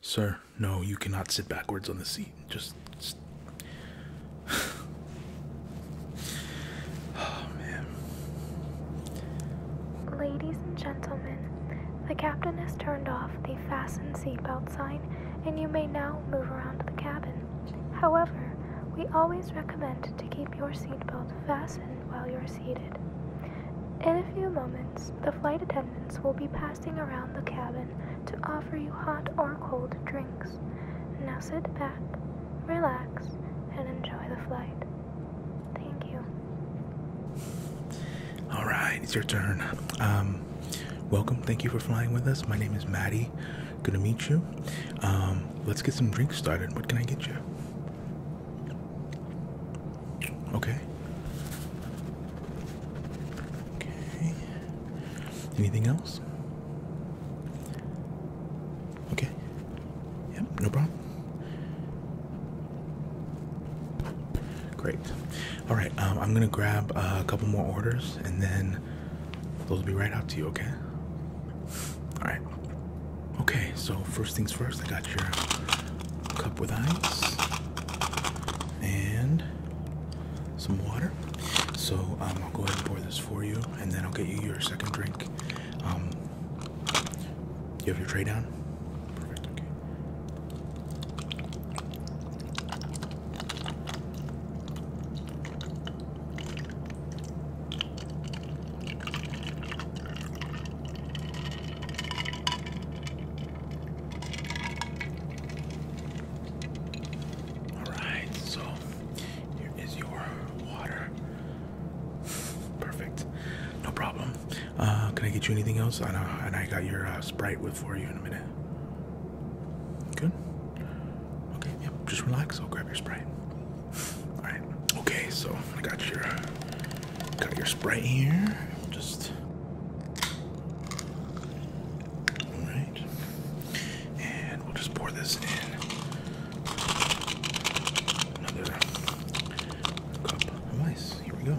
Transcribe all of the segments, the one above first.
Sir, no, you cannot sit backwards on the seat. Just. oh, man. Ladies and gentlemen, the captain has turned off the fasten seatbelt sign and you may now move around the cabin. However, we always recommend to keep your seatbelt fastened while you're seated. In a few moments, the flight attendants will be passing around the cabin to offer you hot or cold drinks. Now sit back, relax, and enjoy the flight. Thank you. All right, it's your turn. Um, welcome. Thank you for flying with us. My name is Maddie. Good to meet you. Um, let's get some drinks started. What can I get you? Okay. Okay. Anything else? Okay. Yep, no problem. Great. All right, um, I'm gonna grab uh, a couple more orders and then those will be right out to you, okay? Alright. Okay, so first things first, I got your cup with ice and some water. So um, I'll go ahead and pour this for you, and then I'll get you your second drink. Um, you have your tray down? Perfect, okay. Alright, so here is your water. Perfect. No problem. Uh, can I get you anything else? and I got your uh, Sprite with for you in a minute. Good. Okay. Yep. Just relax. I'll grab your sprite. All right. Okay. So I got your got your sprite here. Just. All right. And we'll just pour this in another cup of Here we go.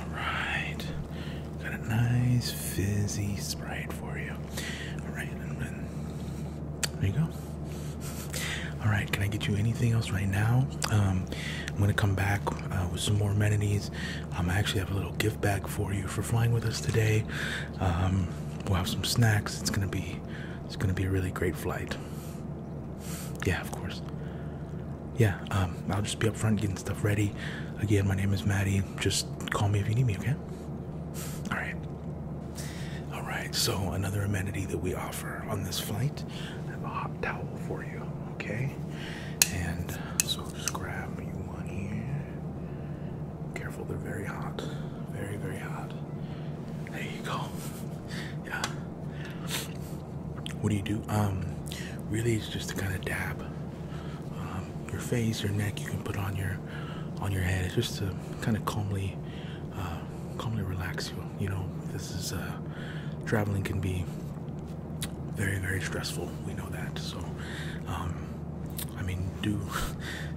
Alright. Got a nice fizzy sprite for you. Alright, there you go. Alright, can I get you anything else right now? Um, I'm gonna come back uh, with some more amenities. Um, I actually have a little gift bag for you for flying with us today. Um, we'll have some snacks. It's gonna be it's gonna be a really great flight. Yeah, of course. Yeah, um, I'll just be up front getting stuff ready. Again, my name is Maddie. Just call me if you need me, okay? Alright. Alright, so another amenity that we offer on this flight. I have a hot towel for you, okay? And so just grab you one here. Careful, they're very hot. Very, very hot. There you go. Yeah. What do you do? Um, really, it's just to kind of dab um, your face, your neck. You can put on your on your head. It's just to kind of calmly, uh, calmly relax you. You know, this is uh, traveling can be very, very stressful. We know that. So. Um, I mean, do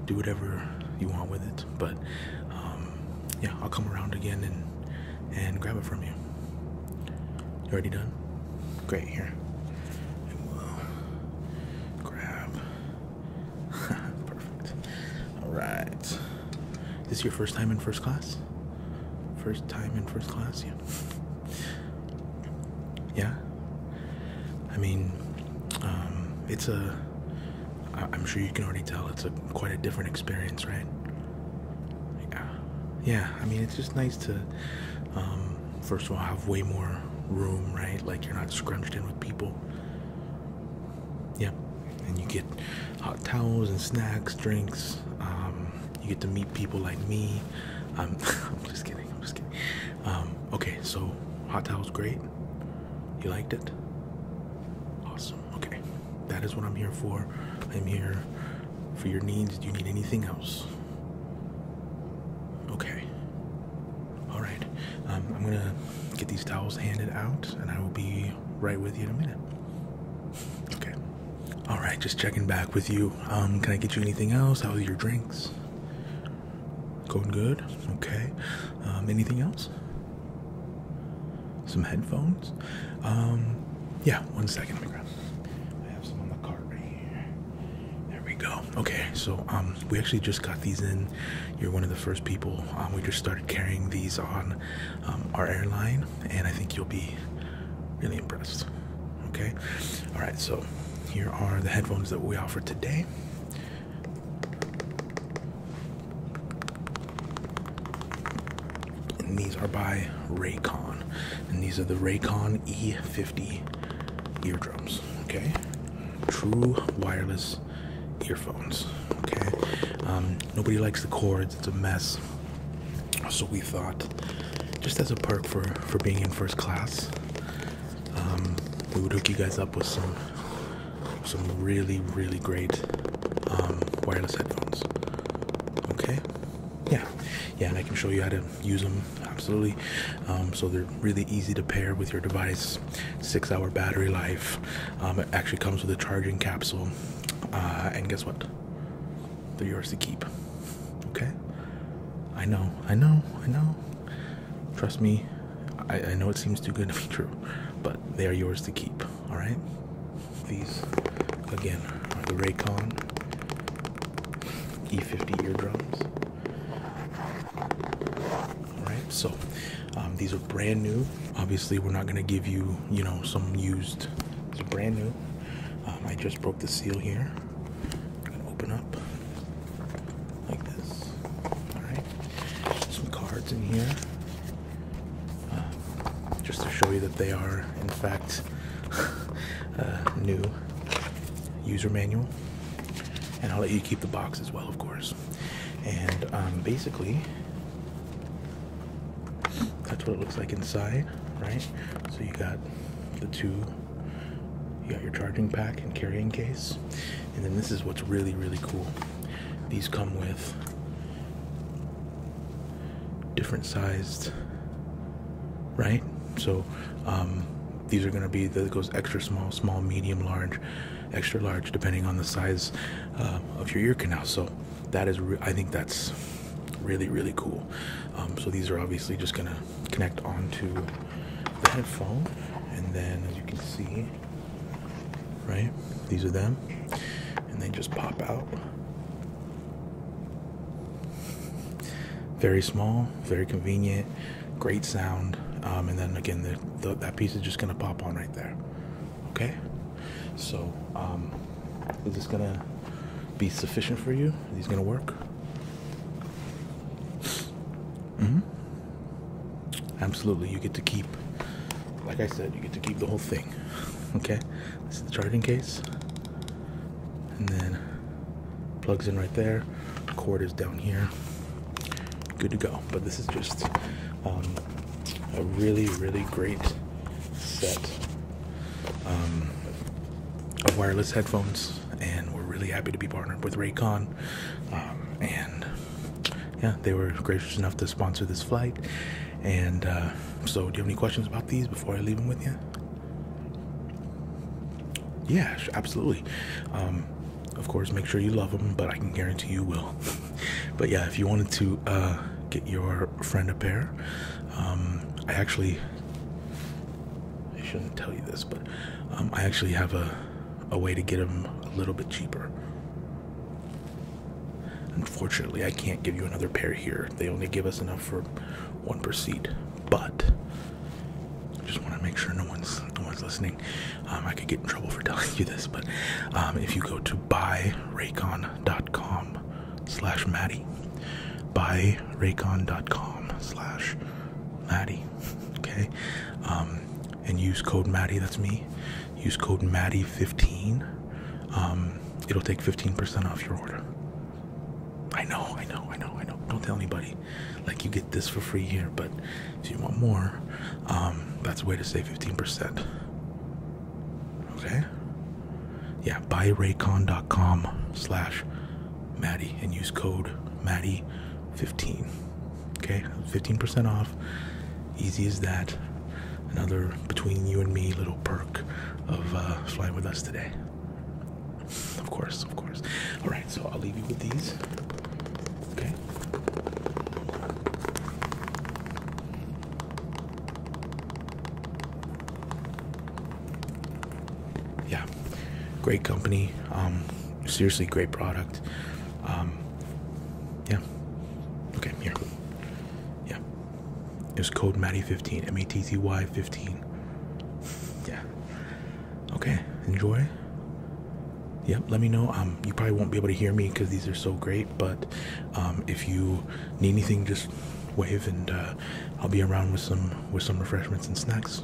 do whatever you want with it. But um, yeah, I'll come around again and and grab it from you. You already done? Great. Here, and will grab. Perfect. All right. Is this your first time in first class? First time in first class? Yeah. Yeah. I mean, um, it's a I'm sure you can already tell it's a quite a different experience, right? Yeah, yeah. I mean, it's just nice to, um, first of all, have way more room, right? Like you're not scrunched in with people. Yep, yeah. and you get hot towels and snacks, drinks. Um, you get to meet people like me. Um, I'm just kidding. I'm just kidding. okay, so hot towels, great. You liked it? Awesome. Okay. That is what I'm here for. I'm here for your needs. Do you need anything else? Okay. All right. Um, I'm going to get these towels handed out and I will be right with you in a minute. Okay. All right. Just checking back with you. Um, can I get you anything else? How are your drinks? Going good. Okay. Um, anything else? Some headphones. Um, yeah. One second. I have some on the cart right here. There we go. Okay. So um, we actually just got these in. You're one of the first people. we just started carrying these on our airline, and I think you'll be really impressed. Okay. All right. So here are the headphones that we offer today. And these are by Raycon. And these are the Raycon E50 eardrums. Okay. True wireless earphones. Okay. Um, nobody likes the cords, it's a mess. So we thought, just as a perk for, for being in first class, um, we would hook you guys up with some some really, really great um, wireless headphones. Okay, yeah, yeah, and I can show you how to use them absolutely. Um, so they're really easy to pair with your device. Six-hour battery life. Um, it actually comes with a charging capsule, uh, and guess what? They're yours to keep. Okay. I know, I know, I know. Trust me, I, know it seems too good to be true, but they are yours to keep. All right. These again are the Raycon E50 eardrums. All right. So um, these are brand new. Obviously, we're not gonna give you, you know, some used. These are brand new. Um, I just broke the seal here. open up like this. All right, some cards in here, uh, just to show you that they are, in fact, uh, new user manual. And I'll let you keep the box as well, of course. And um, basically, that's what it looks like inside, right? So you got the two, you got your charging pack and carrying case. And then this is what's really, really cool. These come with different sized, right? So um, these are going to be, that goes extra small, small, medium, large, extra large, depending on the size uh, of your ear canal. So that is, I think that's really, really cool. Um, so these are obviously just going to connect onto the headphone. And then as you can see, Right? These are them. And they just pop out. Very small, very convenient, great sound. Um, and then again, that piece is just gonna pop on right there. Okay? So, um, is this gonna be sufficient for you? Is these gonna work? hmm Absolutely, you get to keep, like I said, you get to keep the whole thing. Okay, this is the charging case, and then plugs in right there. Cord is down here. Good to go. But this is just um, a really, really great set um, of wireless headphones, and we're really happy to be partnered with Raycon. Um, and yeah, they were gracious enough to sponsor this flight. And uh, so, do you have any questions about these before I leave them with you? Yeah, absolutely. Um, of course, make sure you love them, but I can guarantee you will. but yeah, if you wanted to uh, get your friend a pair, um, I actually I shouldn't tell you this, but um, I actually have a a way to get them a little bit cheaper. Unfortunately, I can't give you another pair here. They only give us enough for one per seat. But I just want to make sure no one's no one's listening. Um, I could get in trouble for telling you this, but um, if you go to buyraycon.com/slash Maddie, buyraycon.com/slash Maddie, okay, um, and use code Maddie. That's me. Use code Maddie fifteen. Um, it'll take fifteen percent off your order. I know, I know, I know, I know. Don't tell anybody. Like you get this for free here, but if you want more, um, that's a way to save fifteen percent. Okay. Yeah, buyraycon.com slash Maddie and use code Maddie fifteen. Okay, 15% off. Easy as that. Another between you and me little perk of uh, flying with us today. Of course, of course. All right, so I'll leave you with these. Okay. Yeah, great company. Um, seriously, great product. Um, yeah. Okay, here. Yeah. It code Matty15, M A T T Y 15. Yeah. Okay, enjoy. Yep, let me know. Um, you probably won't be able to hear me because these are so great, but um, if you need anything, just wave and uh, I'll be around with some with some refreshments and snacks.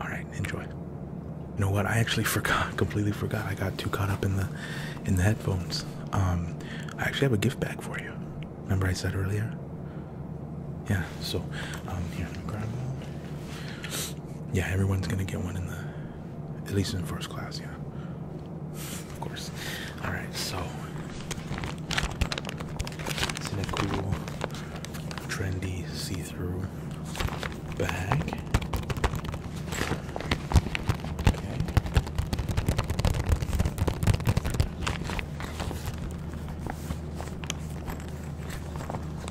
All right, enjoy. You know what? I actually forgot, completely forgot. I got too caught up in the in the headphones. Um, I actually have a gift bag for you. Remember I said earlier? Yeah. So, um, here, Yeah, everyone's gonna get one in the, at least in first class. Yeah. Of course. All right. So, it's in a cool, trendy see-through Back. Okay.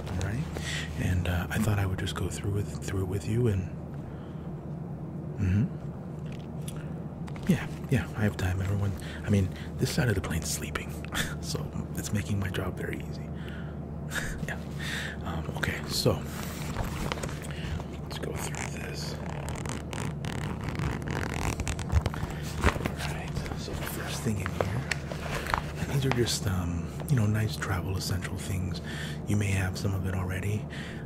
All right, and uh, I thought I would just go through it through with you and. Mm hmm. Yeah, yeah, I have time. Everyone, I mean, this side of the plane is sleeping, so it's making my job very easy. yeah. Um, okay, so let's go through this. Alright, so the first thing in here, these are just, um, you know, nice travel essential things. You may have some of it already,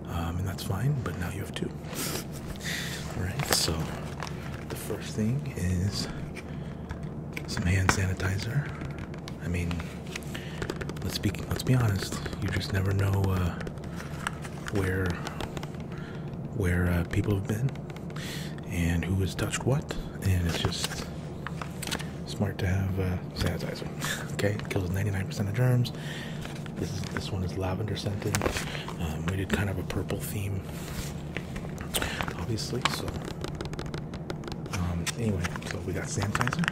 um, and that's fine, but now you have two. Alright, so the first thing is some hand sanitizer. I mean, let's be let's be honest. You just never know uh, where where uh, people have been and who has touched what, and it's just smart to have uh, sanitizer. okay, kills 99% of germs. This is, this one is lavender scented. Um, we did kind of a purple theme, obviously. So um, anyway, so we got sanitizer.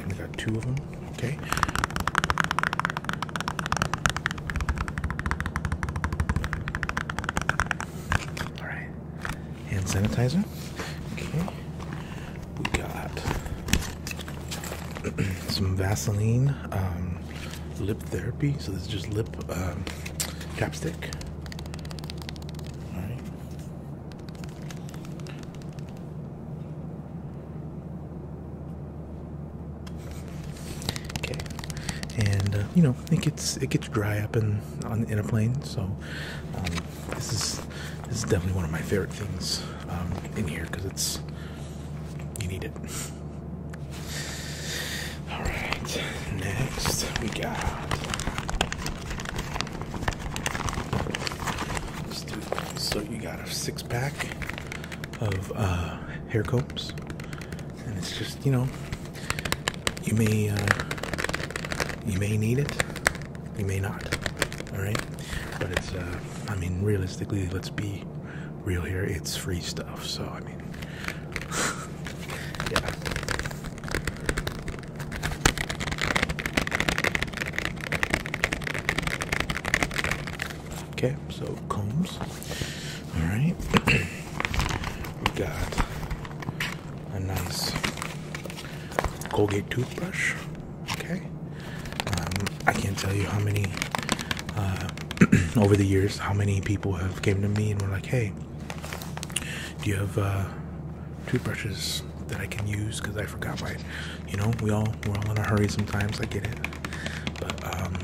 And we got two of them. Okay. Alright. Hand sanitizer. Okay. We got some Vaseline um, lip therapy. So this is just lip um, chapstick. All right. Okay, and uh, you know it gets it gets dry up in on in a plane, so um, this is this is definitely one of my favorite things um, in here because it's you need it. All right, next we got. So you got a six pack of uh, hair combs, and it's just you know you may uh, you may need it, you may not. All right, but it's uh, I mean realistically, let's be real here. It's free stuff, so I mean. yeah. Okay, so combs. All right, we got a nice Colgate toothbrush. Okay, um, I can't tell you how many uh, over the years how many people have came to me and were like, "Hey, do you have uh, toothbrushes that I can use? Because I forgot my. You know, we all we're all in a hurry sometimes. I get it. But um,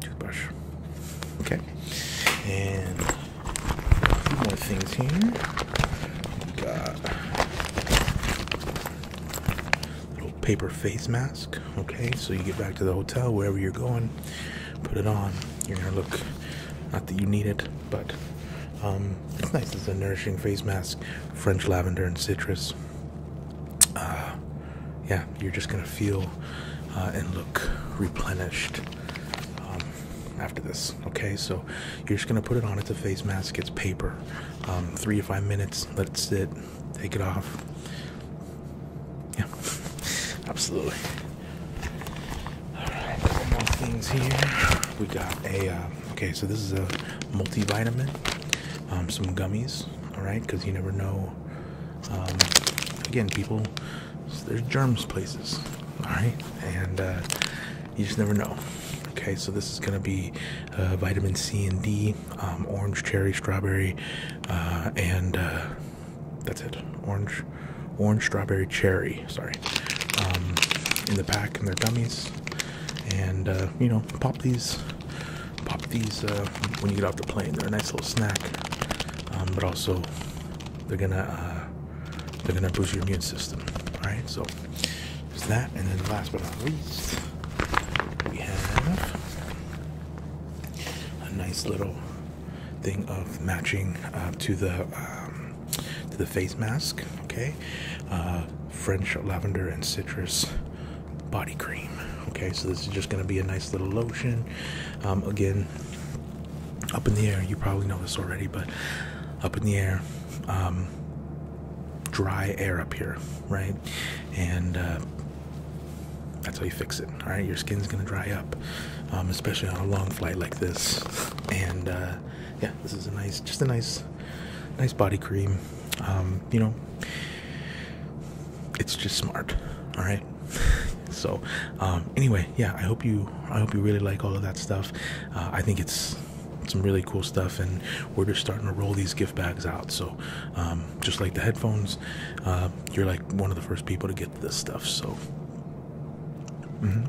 toothbrush. Okay. And a few more things here. got little paper face mask. Okay, so you get back to the hotel wherever you're going put it on, you're gonna look not that you need it, but um, it's nice. It's a nourishing face mask, French lavender and citrus. Uh, yeah, you're just gonna feel uh, and look replenished um, after this. Okay, so you're just gonna put it on. It's a face mask. It's paper. Um, three to five minutes. Let it sit. Take it off. Yeah, absolutely. All right, couple more things here. We got a uh, okay, so this is a multivitamin, um, some gummies. All right, because you never know. Um, again, people, there's germs places. All right, and uh, you just never know. Okay, so this is gonna be uh, vitamin C and D, um, orange, cherry, strawberry, and that's it orange orange strawberry cherry sorry um, in the pack and they're gummies and uh, you know pop these pop these uh, when you get off the plane they're a nice little snack um, but also they're gonna uh, they're gonna boost your immune system all right so there's that and then last but not least we have a nice little thing of matching uh, to the um, to the face mask. Okay, uh, French lavender and citrus body cream. Okay, so this is just gonna be a nice little lotion. Um, again, up in the air. You probably know this already, but up in the air. Um, dry air up here, right? And uh, that's how you fix it. All right, your skin's gonna dry up, um, especially on a long flight like this. And uh, yeah, this is a nice, just a nice, nice body cream. Um, you know, it's just smart. All right. so um, anyway, yeah, I hope you, I hope you really like all of that stuff. Uh, I think it's some really cool stuff and we're just starting to roll these gift bags out so just like the headphones uh, you're like one of the first people to get this stuff, so mm-hmm.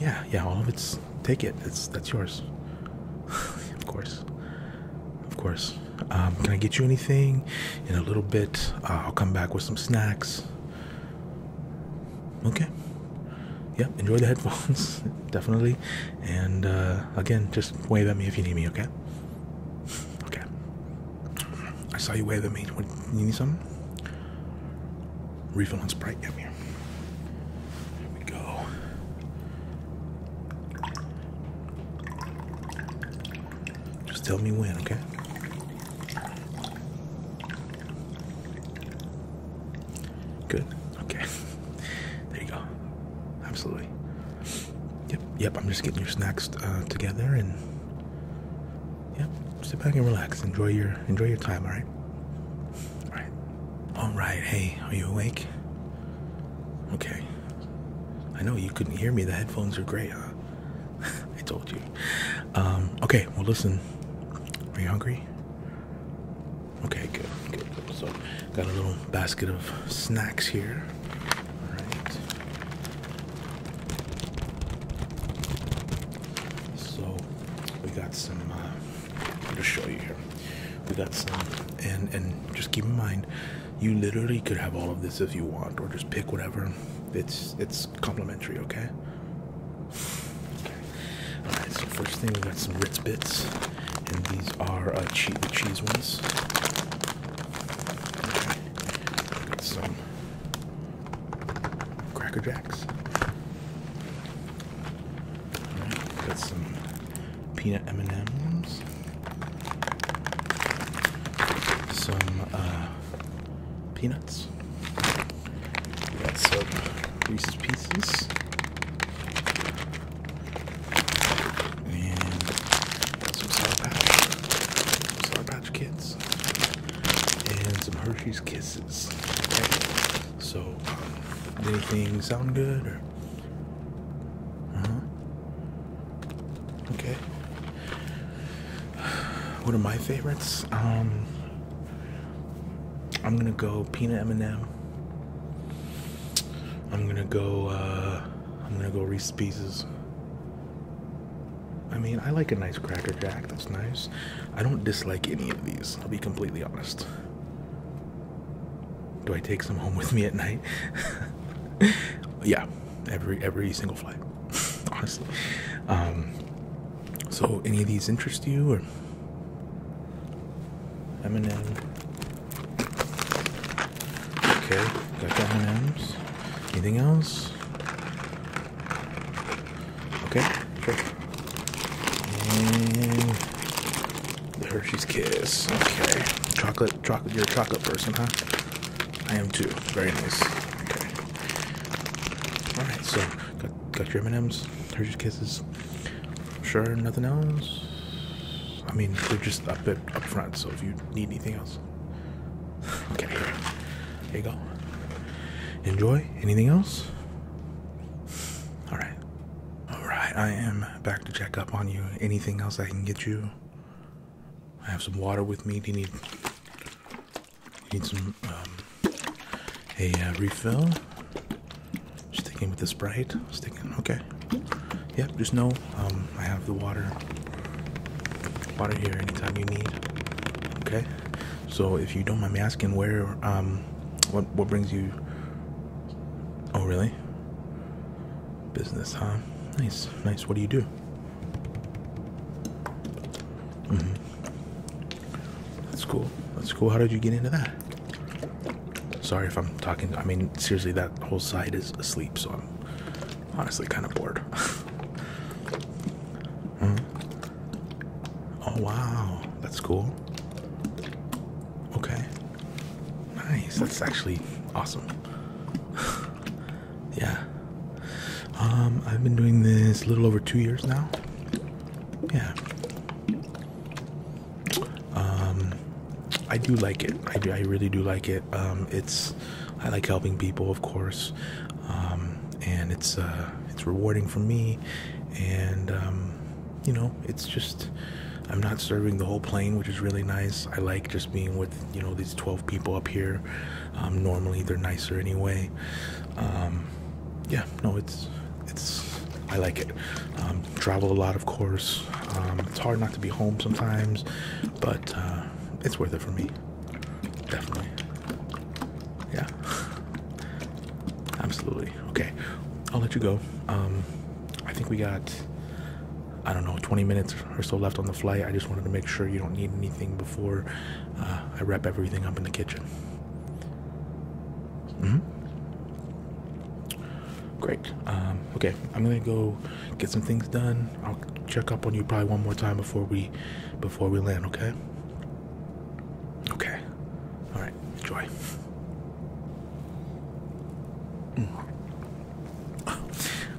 yeah, yeah, all of it's take it. It's that's yours. of course. Of course. Um, can I get you anything in a little bit? Uh, I'll come back with some snacks. Okay. Yep. Yeah, enjoy the headphones, definitely. And uh, again, just wave at me if you need me. Okay. okay. I saw you wave at me. What, you need something? Refill on Sprite. Yep, here. Here we go. Just tell me when, okay? Good. Okay. There you go. Absolutely. Yep, yep, I'm just getting your snacks uh, together and yep, sit back and relax. Enjoy your enjoy your time, alright? Alright. Alright, hey, are you awake? Okay. I know you couldn't hear me, the headphones are great, huh? I told you. Um, okay, well listen. Are you hungry? Okay, good, good, good. So got a little basket of snacks here. Alright. So we got some. Let uh, me show you here. We got some, and and just keep in mind, you literally could have all of this if you want, or just pick whatever. It's it's complimentary, okay? All right. So first thing, we got some Ritz bits, and these are uh, che the cheese ones. Got some Cracker Jacks. got some peanut M&Ms. Some uh, peanuts. got some Reese's Pieces. And some sour patch. Patch and some Hershey's Kisses. Okay. So, anything sound good uh-huh. Okay. What are my favorites? Um, I'm gonna go peanut M&M. I'm gonna go. Uh, I'm gonna go Reese's Pieces. I mean, I like a nice cracker jack, that's nice. I don't dislike any of these, I'll be completely honest. Do I take some home with me at night? yeah, every every single flight, honestly. Um, so, any of these interest you, or M&M? Okay, got the M&Ms. Anything else? Okay, sure. And the Hershey's Kiss. Okay, chocolate, chocolate. You're a chocolate person, huh? I am too. Very nice. Okay. All right, so got, got your M&Ms, Hershey's Kisses. Sure, nothing else. I mean, they're just up up front, so if you need anything else, Okay. Here you go. Enjoy. Anything else? Alright. Alright, I am back to check up on you. Anything else I can get you? I have some water with me. Do you need need some um, a uh, refill? Sticking with the Sprite. Sticking. Okay. Yep. Just no um, I have the water, water here anytime you need. Okay, so if you don't mind me asking, where, um, what, what brings you? Oh, really? Business, huh? Nice, nice. What do you do? -hmm. That's cool. That's cool. How did you get into that? Sorry if I'm talking. I mean, seriously, that whole side is asleep, so I'm honestly kind of bored. mm. Oh wow, that's cool. Okay. Nice, that's actually awesome. yeah. Um, I've been doing this a little over two years now. Yeah. Um, I do like it. I I really do like it. Um, it's I like helping people, of course, um, and it's uh, it's rewarding for me. And um, you know, it's just I'm not serving the whole plane, which is really nice. I like just being with you know these 12 people up here. Um, normally, they're nicer anyway. yeah, no, it's it's I like it. Um, travel a lot, of course. it's hard not to be home sometimes, but uh, it's worth it for me. Definitely. Yeah. Absolutely. Okay. I'll let you go. Um, I think we got, I don't know, 20 minutes or so left on the flight. I just wanted to make sure you don't need anything before uh, I wrap everything up in the kitchen. hmm. Great. Um, okay. I'm going to go get some things done. I'll check up on you probably one more time before we before we land, okay? Okay. All right. Joy. Mm.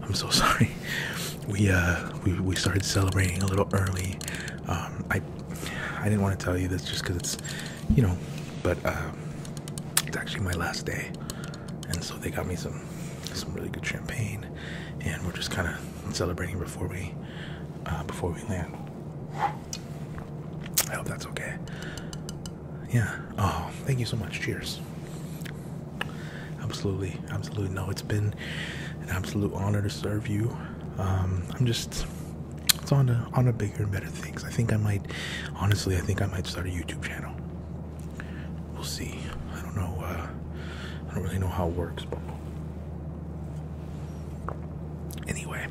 I'm so sorry. We uh we we started celebrating a little early. Um I I didn't want to tell you this just cuz it's you know, but uh, it's actually my last day and so they got me some some really good champagne, and we're just kind of celebrating before we uh, before we land. I hope that's okay. Yeah. Oh, thank you so much. Cheers. Absolutely, absolutely. No, it's been an absolute honor to serve you. Um, I'm just it's on a on a bigger and better things. I think I might honestly I think I might start a YouTube channel we'll see. I don't know. Uh, I don't really know how it works, but anyway,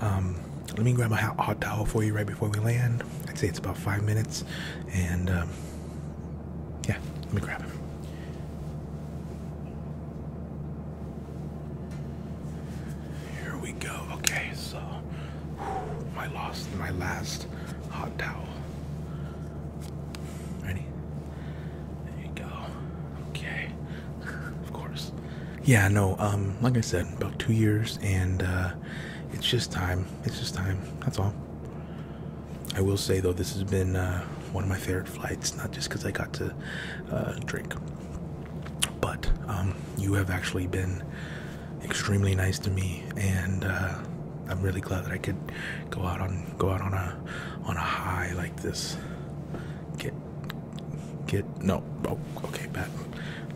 um, let me grab a hot towel for you right before we land. I'd say it's about five minutes, and um, yeah, let me grab it. Here we go. Okay, so my lost my last hot towel. Ready? There you go. Okay. of course. Yeah, no, um, like I said, about two years and uh, it's just time. It's just time. That's all. I will say though, this has been uh, one of my favorite flights, not just because I got to uh, drink. But um, you have actually been extremely nice to me and I'm really glad that I could go out on go out on a on a high like this. Get get no oh okay bad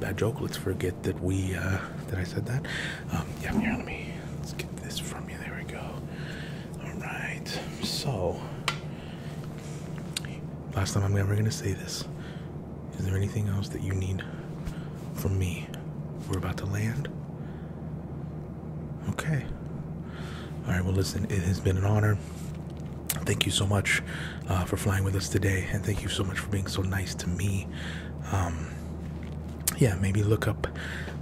bad joke. Let's forget that we uh, that I said that. Um, yeah, here let me let's get this from you. There we go. All right. So last time I'm ever gonna say this. Is there anything else that you need from me? We're about to land. Okay. All right. Well, listen, it has been an honor. Thank you so much uh, for flying with us today, and thank you so much for being so nice to me. Um, yeah, maybe look up,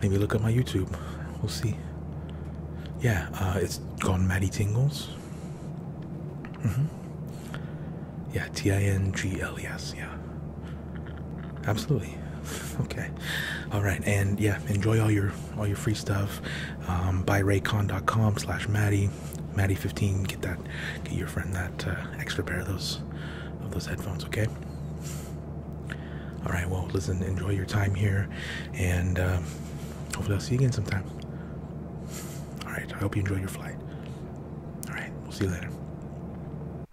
maybe look up my YouTube. We'll see. Yeah, uh, It's gone. Maddie Tingles. -hmm. Yeah, T I N G L E S. Yeah. Absolutely. Okay. All right. And yeah, enjoy all your all your free stuff. Um, buy com slash Maddie. Maddie 15. Get that. Get your friend that uh, extra pair of those of those headphones. Okay. All right. Well, listen. Enjoy your time here, and um, hopefully I'll see you again sometime. All right. I hope you enjoy your flight. All right. We'll see you later.